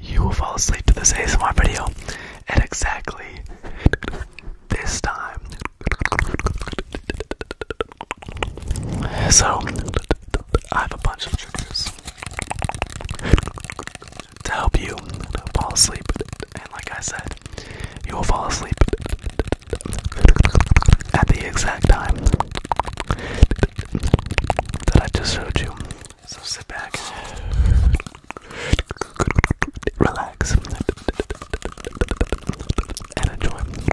You will fall asleep to this ASMR video at exactly this time. So, I have a bunch of triggers to help you fall asleep. And like I said, you will fall asleep at the exact time that I just showed you. So sit back, relax, and enjoy.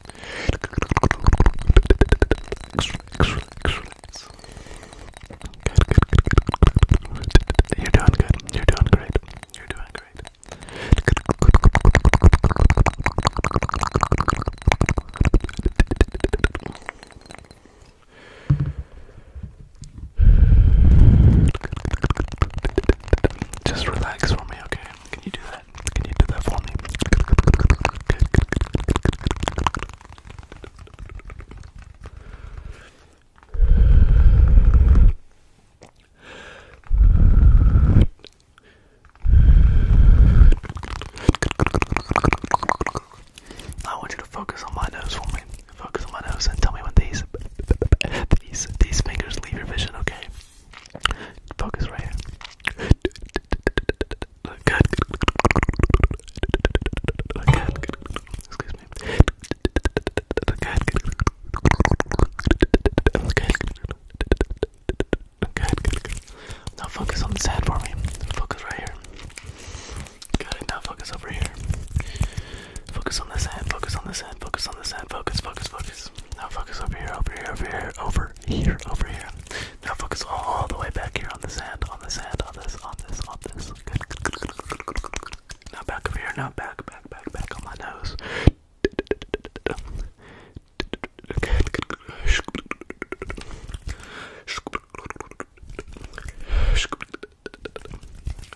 You're doing good. You're doing great. You're doing great. Just relax for me, okay? Can you do that? Can you do that for me? I want you to focus on my nose for Focus on my nose and tell me when these these these fingers leave your vision, okay? Focus right here. Look good. Look good. Excuse me. Look good. Look good. Good, good, good. Now focus on the sand for me. Focus right here. Got it. Now focus over here. Focus on the sand. Focus on the sand. Focus on the sand. Focus, focus, focus. Now focus over here, over here, over here, over here, over here. Now focus all, all the way back here on the sand, on the sand, on this, on this, on this. Good, good, good, good, good, good, good. Now back over here, now back, back, back, back on my nose. Good, good, good.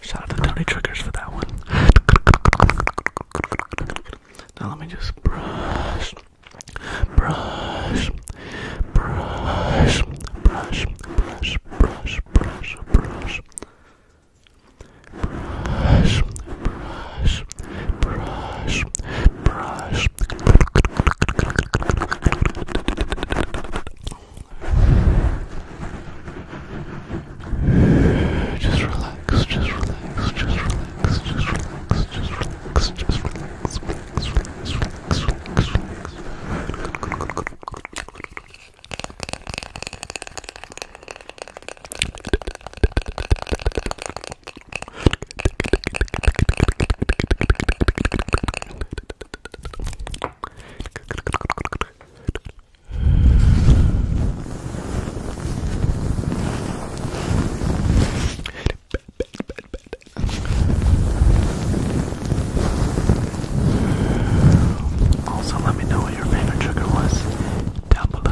Shout out to Tony Triggers for that one. Now let me just brush, brush, brush, brush, brush, brush, brush, brush. Brush, brush, brush, brush. Just relax, just relax, just relax, just relax relax, just relax, just relax, relax, relax, relax, relax, relax. Good, good, good, good, good, good, good. Also, let me know what your favorite trigger was down below.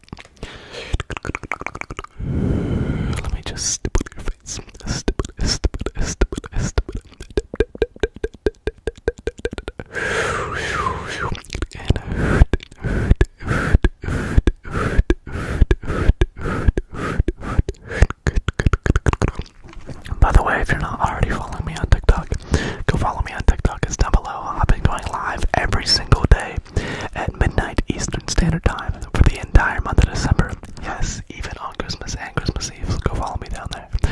Let me just stipple your face. By the way, if you're not already following me on TikTok, Go follow me on TikTok, it's down below. I've been going live every single day at midnight Eastern Standard Time for the entire month of December. Yes, even on Christmas and Christmas Eve. go follow me down there. Let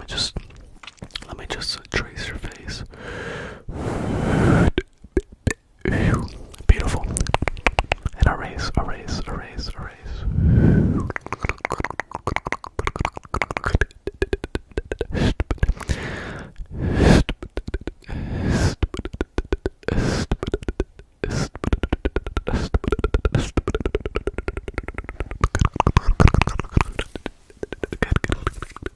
me just let me just trace your face. Beautiful. And erase, erase, erase, erase. Good, good, good, good, good,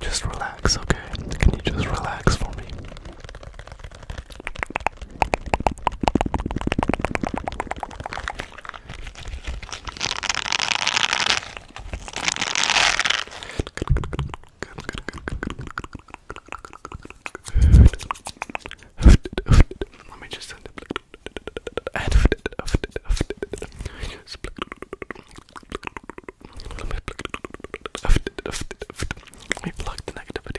Just relax, okay? Can you just relax for me? Let me just send it. Let me plug the negativity.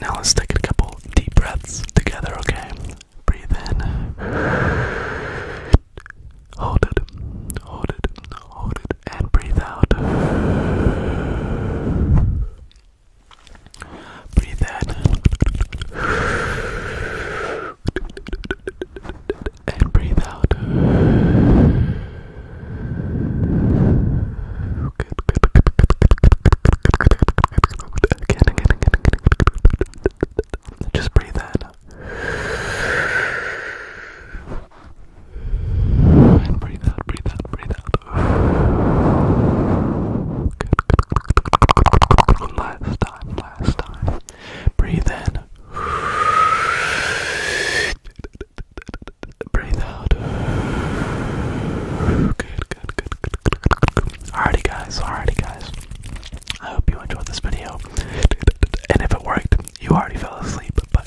Now let's take a couple deep breaths together, okay? Breathe in. Hold it. Hold it. Hold it. And breathe out. Breathe in and breathe out. Just breathe in and breathe out, breathe out, breathe out. Last time, last time. Breathe in. Breathe out. Alrighty, guys. Alrighty, guys. I hope you enjoyed this video. And if it worked, you already fell asleep, but